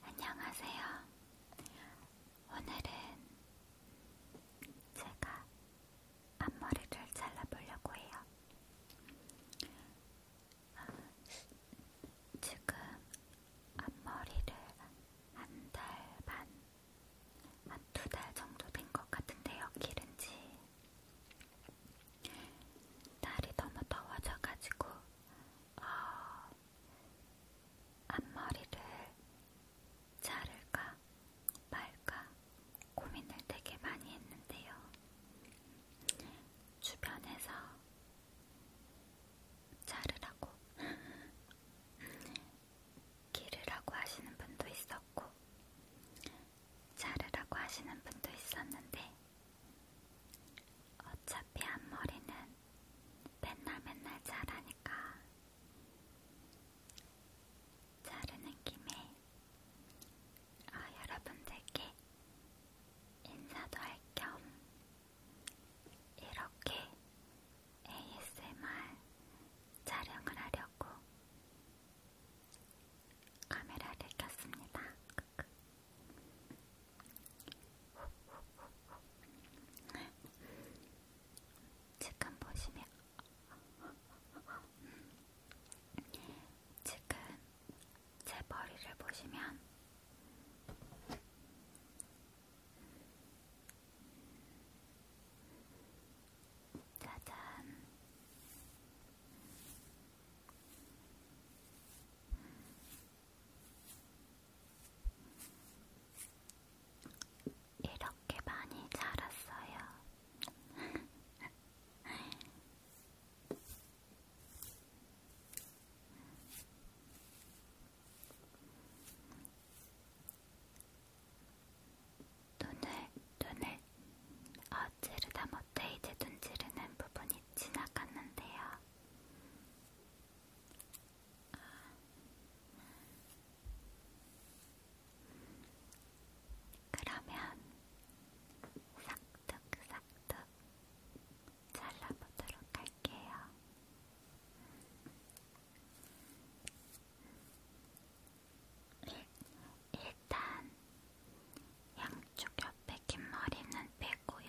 안녕하세요. 오늘은 제가 앞머리를 잘라보려고 해요. 아, 지금 앞머리를 한 달 반, 한 두 달 정도 된 것 같은데요. 기른 지. 날이 너무 더워져가지고 어, 앞머리를 자를까 말까 고민을 되게 많이 했는데요. 주변에서 자르라고 기르라고 하시는 분도 있었고 자르라고 하시는 분도 있었는데 어차피 앞머리는 맨날 맨날 자라니까 자르는 김에 아, 여러분들께 인사도 할 겸 이렇게 ASMR 촬영을 하려고 카메라를 켰습니다. 지금 보시면 지금 제 머리를 보시면 짜잔 이렇게 많이 자랐어요. 눈을, 눈을 어찌르다 못해 이제 눈 지르는 부분이 지나갔는데요. 그러면 싹둑싹둑 잘라보도록 할게요. 일, 일단 양쪽 옆에 긴 머리는 빼고요.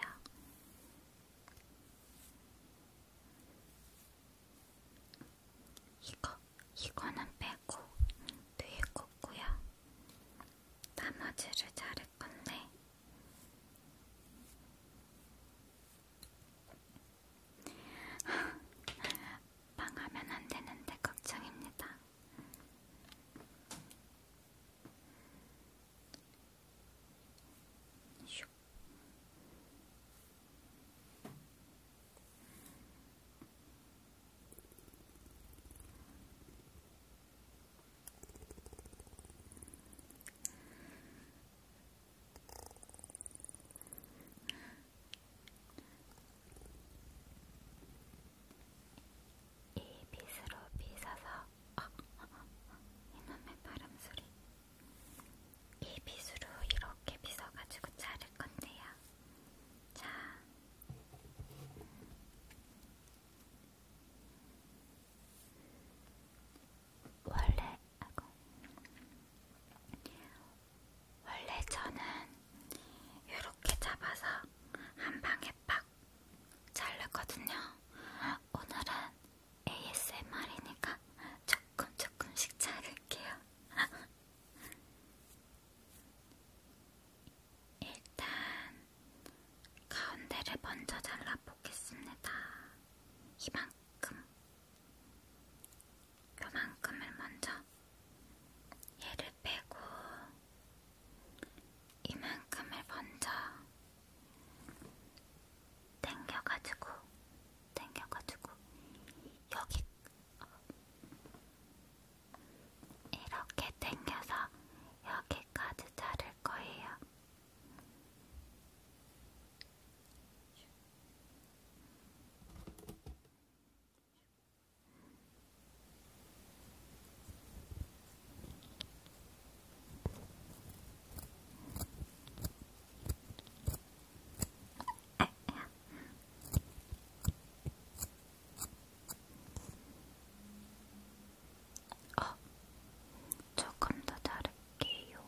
이거, 이거는 빼고 뒤에 꽂고요. 나머지를 자를 건데. 망하면 안 되는데 걱정입니다. 이 빗으로 빗어서 아, 이놈의 바람 소리. 이 빗으로 이렇게 빗어가지고 자를 건데요. 자, 원래 아고 원래 저는 이렇게 잡아서 한 방에 팍 자르거든요. 오늘은 ASMR이니까 조금 조금씩 자를게요. 일단 가운데를 먼저 잘라보겠습니다. 이만큼, 요만큼을 먼저 얘를 빼고 이만큼을 먼저 당겨가지고 당겨가지고 여기 이렇게 당겨서 여기까지 자를 거예요. 어, 조금 더 자를게요.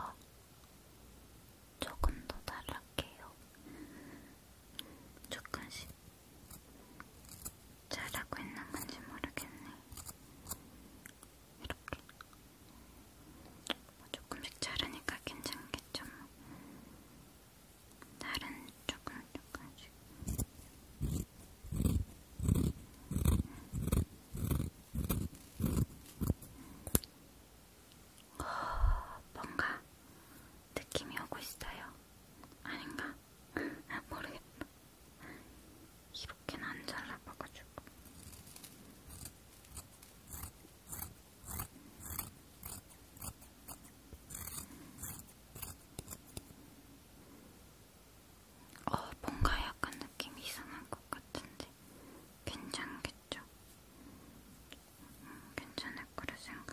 어, 조금 더 잘할게요. 조금씩 잘하고 있는 건지 모르겠네. 이렇게 뭐 조금씩 자르니까 괜찮겠죠. 뭐. 다른 조금 조금씩. 뭔가 느낌이 오고 있어요. 아닌가? 모르겠다. 이렇게는 안 잘라봐가지고. 어, 뭔가 약간 느낌이 이상한 것 같은데 괜찮겠죠? 괜찮겠죠? 음, 괜찮을 거라 생각해요.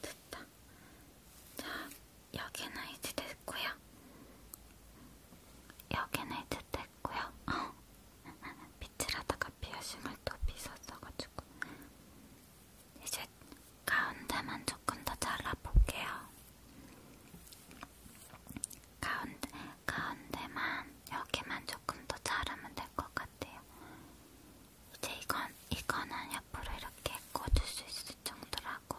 됐다. 자, 여기는 이제 됐고요. 여기는 이제 됐고요. 어. 빛을 하다가 피어싱을 또 빗었어가지고 이제 가운데만 조금 더 잘라볼게요. 가운데, 가운데만 여기만 조금 더 자르면 될 것 같아요. 이제 이건 이거는 옆으로 이렇게 꽂을 수 있을 정도라고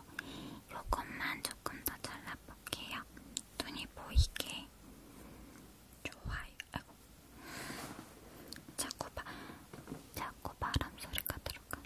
요것만 조금 더 잘라볼게요. 눈이 보이게 좋아요. 아이고. 자꾸 바, 자꾸 바람 소리가 들어가.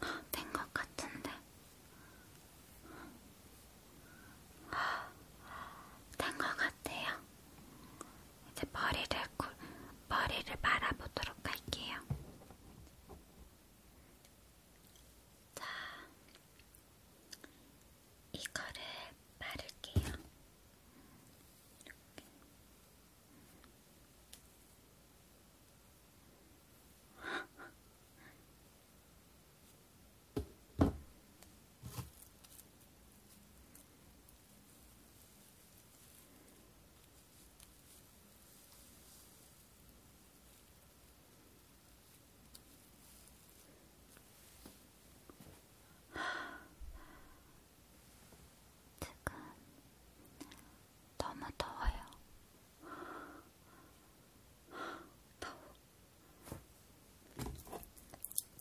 이만큼 된 것 같은데 된것 같아요. 이제 머리를 굴, 머리를 말아보도록 할게요. 자, 이거를 바를게요. 이렇게. 지금 너무 더워요. 더워.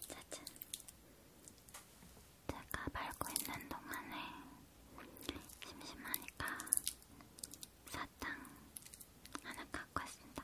짜잔. 제가 말고 있는 동안에 심심하니까 사탕 하나 갖고 왔습니다.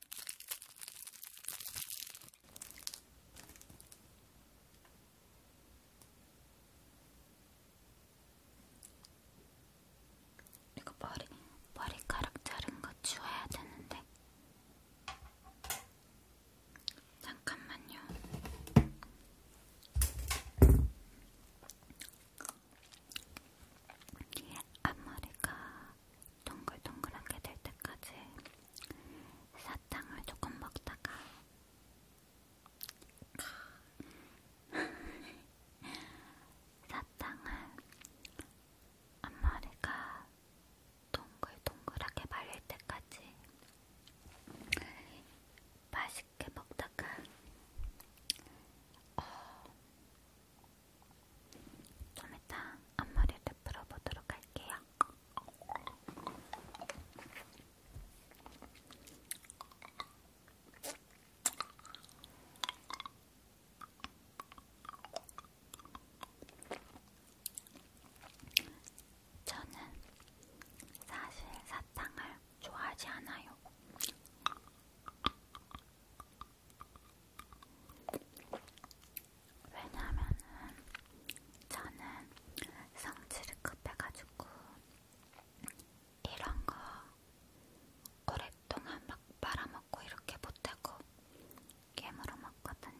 이거 머리, 머리카락 자른 거 치워야 되는데. 잠깐만요. 앞머리가 동글동글하게 될 때까지 사탕을 조금 먹다가 사탕을 앞머리가 동글동글하게 말릴 때까지 맛있게 먹다가 어, 좀 이따 앞머리를 풀어보도록 할게요. 저는 사실 사탕을 좋아하지 않아요. 왜냐면은 저는 성질이 급해가지고 이런 거 오랫동안 막 빨아먹고 이렇게 못하고 깨물어 먹거든요.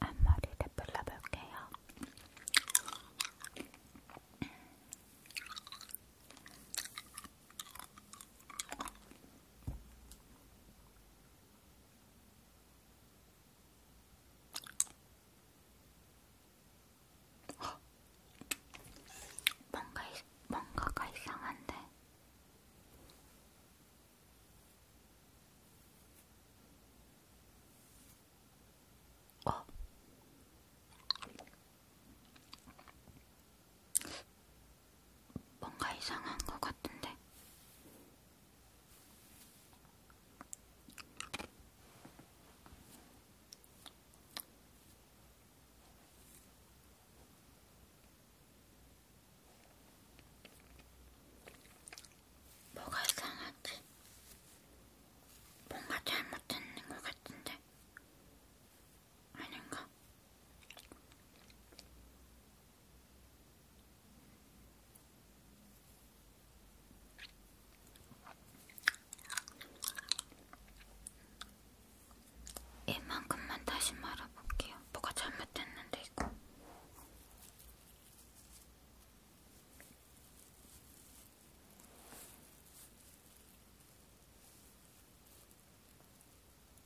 앞머리를 불러볼게요. 뭔가 이, 뭔가가 이상한데. 어. 뭔가 이상한 것 같은데. 뭐가 이상하지? 뭔가 잘못된 것 같은데 아닌가? 이만큼만 다시 말아볼게요. 뭐가 잘못됐는데 이거.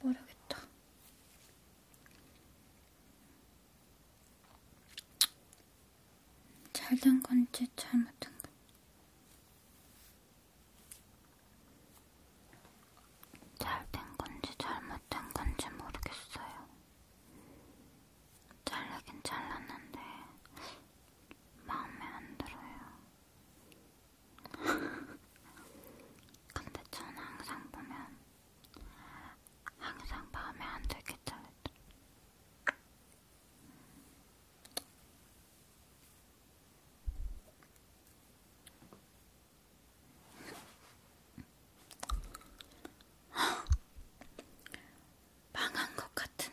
모르겠다. 잘 된 건지 잘못된 건지. 잘 된 건지 잘못된 건지 모르겠어요. 잘라긴 잘랐는데 마음에 안 들어요. 근데 저는 항상 보면 항상 마음에 안 들게 잘랐죠. 망한 것 같은데.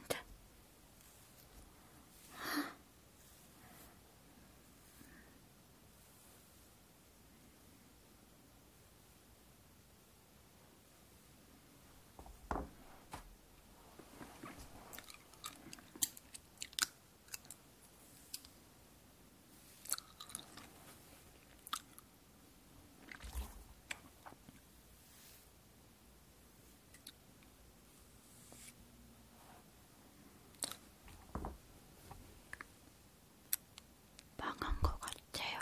망한 것 같아요.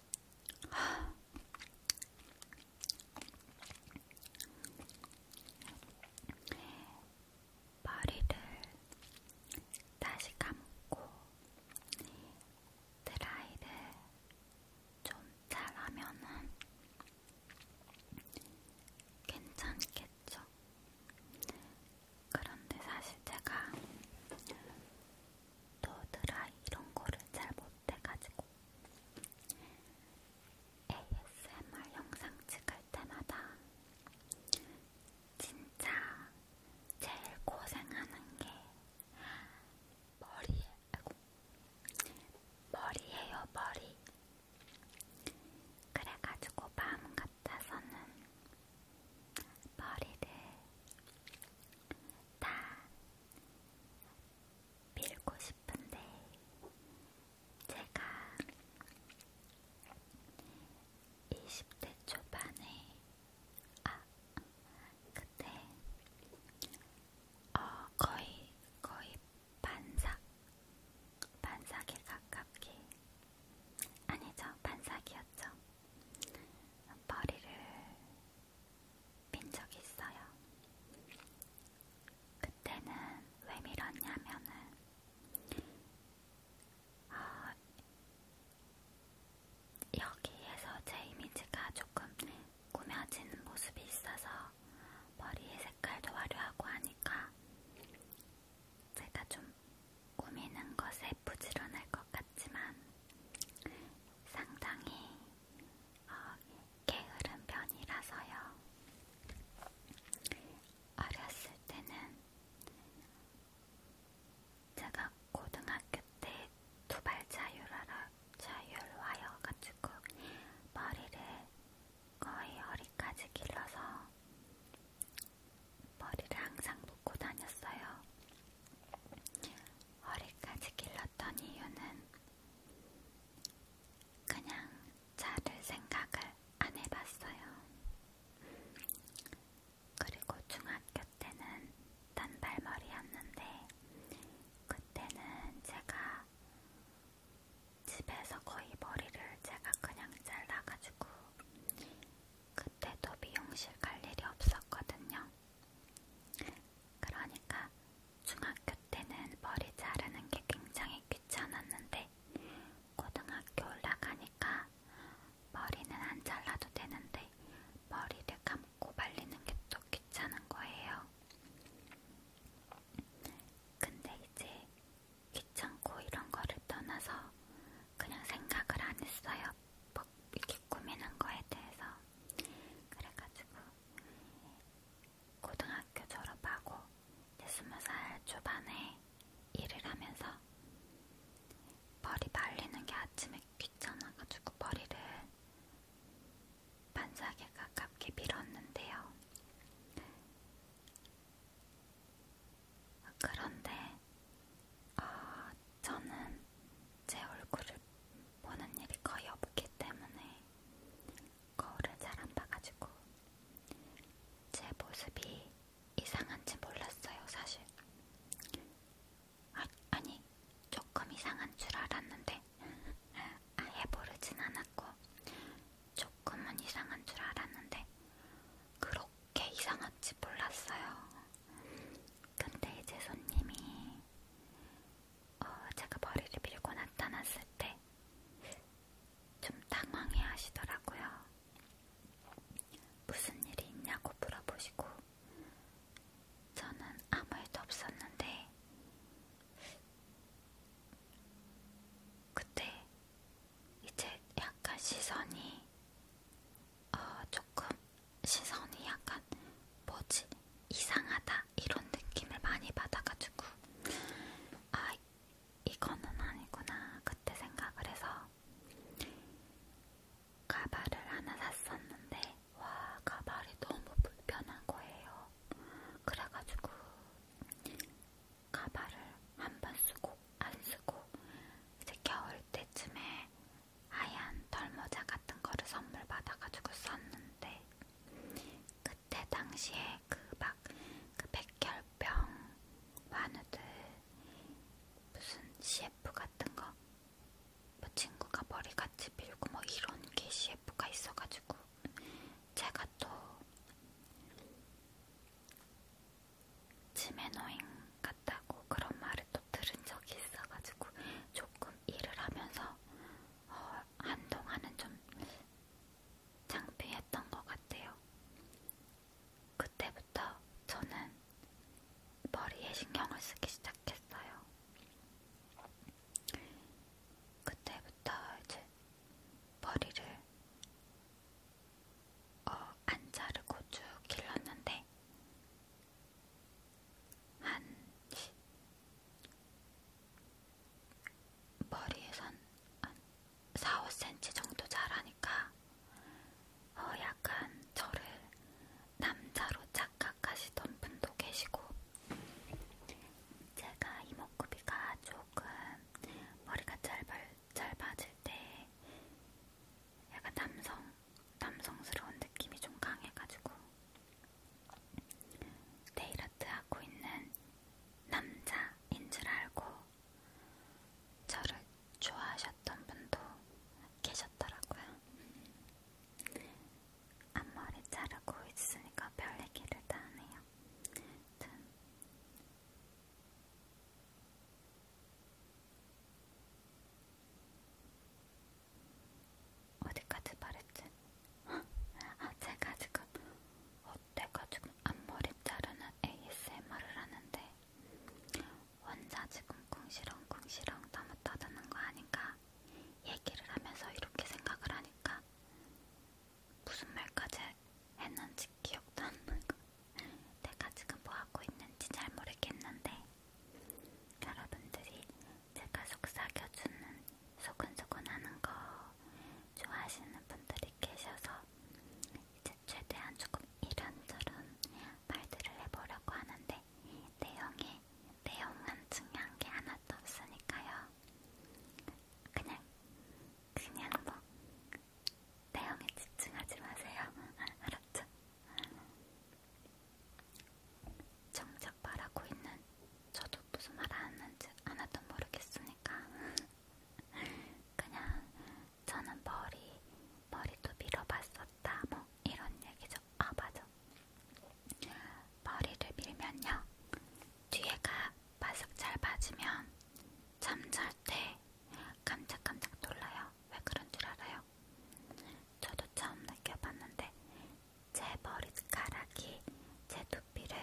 머리를 다시 감고 드라이를 좀 잘하면은 괜찮겠죠. 그런데 사실 제가 또 드라이 이런 거를 잘 못해가지고 ASMR 영상 찍을 때마다 진짜 제일 고생하는 게 머리에, 아이고, 머리예요, 머리. 그래가지고 마음 같아서는 머리를 다 빌고 싶은데 제가 20대 초반에 아 그때 어 거의 거의 반삭 반삭에 가깝게 아니죠 반삭이었죠 머리를 빈 적이 있어요. 그때는 왜 밀었냐면은 어, 여기에서 제 이미지가 조금 꾸며진 모습이 있어서 머리의 색깔도 화려하고 하니까 제가 좀 꾸미는 것에 부지런할 것 같지만 상당히 어, 게으른 편이라서요. 어렸을 때는 제가 고등학교 때 두발 자율화여가지고 머리를 거의 허리까지 길러서 머리를 항상 묶고 다녔어요. 허리까지 길렀던 이유는 그냥 자를 생각을 안 해봤어요. 그리고 중학교 때는 단발머리였는데 그때는 제가 집에서 거의 머리를 제가 그냥 잘라가지고 그때도 미용실 갈 일이 없었거든요. 그러니까 중학교 때는 머리 자르는 게 굉장히 귀찮았는데 고등학교 올라가니까 머리는 안 잘라도 되는데 머리를 감고 말리는 게 또 귀찮은 거예요. 근데 이제 귀찮고 이런 거를 떠나서 그냥 생각을 안 했어요. 뭐 이렇게 꾸미는 거에 대해서. 그래가지고 고등학교 졸업하고 20살 초반에 일을 하면서 머리 말리는 게 아침에 귀찮아가지고 머리를 반사하게 가깝게 밀었는데요. 그런데 어, 저는 제 얼굴을 보는 일이 거의 없기 때문에 거울을 잘 안 봐가지고 제 모습이 이상한지 몰랐어요, 사실. 아, 아니, 조금 이상한 줄 알았는데 아예 모르진 않았고 조금은 이상한 줄 알았는데 그렇게 이상한지 몰랐어요. 근데 이제 손님이 어, 제가 머리를 밀고 나타났을 때 좀 당황해 하시더라고요. 무슨 일이 있냐고 물어보시고, 저는 아무 일도 없었는데, 그때 이제 약간 시선이, 어, 조금, 시선이 약간, 뭐지, 이상하다, 이런 느낌을 많이 받아가지고 아 이거는 아니구나 그때 생각을 해서 가발을 하나 샀었는데 와 가발이 너무 불편한 거예요. 그래가지고 가발을 한번 쓰고 안 쓰고 이제 겨울 때쯤에 하얀 털모자 같은 거를 선물 받아가지고 썼는데 그 그때 당시에 그막그 그 백혈병 환우들 무슨 CF 같은 거, 뭐 친구가 머리 같이 밀고 뭐 이런 게 CF가 있어가지고 제가 또 치매노인 같다고 그런 말을 또 들은 적이 있어가지고 조금 일을 하면서 어, 한동안은 좀 창피했던 것 같아요. 그때부터 저는 머리에 신경을 쓰기 시작했어요. 그때부터 이제 머리를 어, 안 자르고 쭉 길렀는데 한 머리에서 한 4, 5cm 정도 자라니까 어 약간 저를 남자로 착각하시던 분도 계시고 제가 이목구비가 조금 머리가 짧아, 짧아질 때 약간 남성, 남성스러운 느낌이 좀 강해가지고 네일아트 하고 있는 남자인 줄 알고 저를 좋아하셨던 분도 계셨더라고요. 앞머리 자르고 있으니까 별 얘기를 다 하네요. 아무튼 어디까지 말했지? 아, 제가 지금 어때가 지금 앞머리 자르는 ASMR을 하는데 혼자 지금 궁시렁궁시렁 너무 떠드는 거 아닌가? 얘기를 하면서 이렇게 생각을 하니까 무슨 말까지 했는지 기억도 안 나고 내가 지금 뭐 하고 있는지 잘 모르겠는데 여러분들이 제가 속삭여주는 소근소근하는 거 좋아하시는 분들이 계셔서 이제 최대한 조금 이런저런 말들을 해보려고 하는데 내용에 내용만 중요한 게 하나도 없으니까요. 그냥 그냥 뭐 내용에 집중하지 마세요. 알았죠? 정정 계속 말하고 있는 저도 무슨 말 하는지 하나도 모르겠으니까 그냥 저는 머리 머리도 밀어봤었다 뭐 이런 얘기죠. 아 맞아. 머리를 밀면요 뒤에가 바삭 잘 맞으면 잠잘 때 깜짝깜짝 놀라요. 왜 그런 줄 알아요? 저도 처음 느껴봤는데 제 머리카락이 제 두피를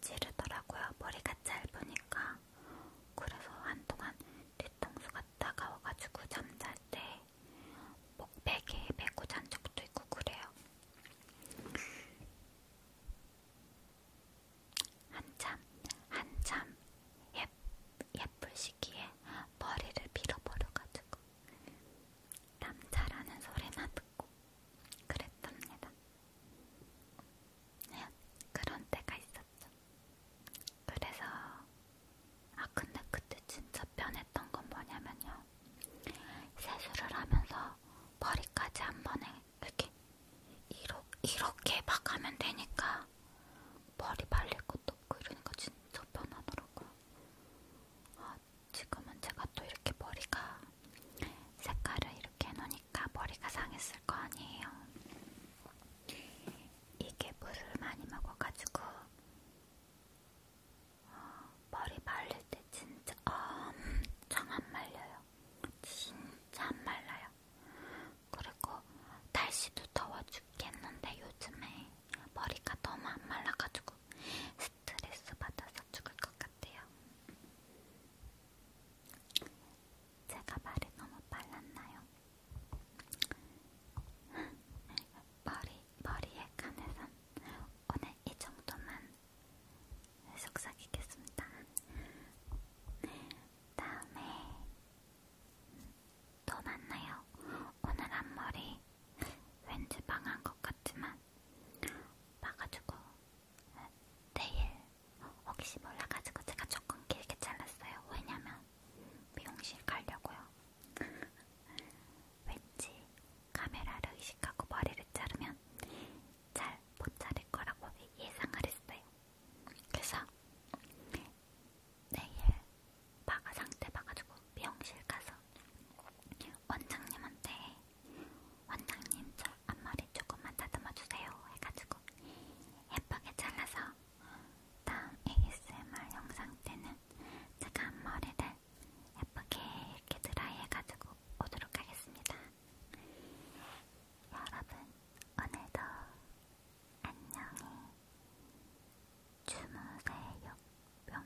찌르더라고요. 머리가 짧으니까. 그래서 한동안 뒤통수가 따가워가지고 잠잘 때 목베개에 메고 잔 적도 있고 그래요. 한참, 한참 예, 예쁠 시기에 머리를 밀어버려가지고 남자라는 소리만 듣고 그랬답니다. 네, 그런 때가 있었죠. 그래서 아 근데 그때 진짜 변했던 건 뭐냐면요. 세수를 하면서 머리까지 한 번에 이렇게 이렇게, 이렇게 막 하면 되니까 머리 말릴 것도 없고 이러니까 진짜 편하더라고요. 아 지금은 제가 또 이렇게 머리가 색깔을 이렇게 해놓으니까 머리가 상했을 거 아니에요. 이게 물을 많이 먹어가지고 어, 머리 말릴 때 진짜 엄청 안 말려요. 진짜 안 말라요. 그리고 날씨도 더워 죽겠는데 요즘에 머리가 너무 안 말라가지고. 스트레스 받아서 죽을 것 같아요. 제가 말이 너무 빨랐나요? 머리, 머리에 관해선 오늘 이 정도만 속삭이겠습니다. 다음에 또 만나요. 오늘 앞머리 왠지 망한 것 같지만 봐가지고 내일 혹시 몰라가지고 제가 조금 길게 잘랐어요. 왜냐면 미용실 가려고요. 왠지 카메라를 의식하고 머리를 자르면 잘 못 자를 거라고 예상을 했어요. 그래서 내일 바가 상태 봐가지고 미용실 가서 원장님한테 원장님 저 앞머리 조금만 다듬어주세요 해가지고 예쁘게 잘라서 다음 ASMR 영상 때는 제가 앞머리를 예쁘게 이렇게 드라이 해가지고 오도록 하겠습니다. 여러분 오늘도 안녕히 주무세요 뿅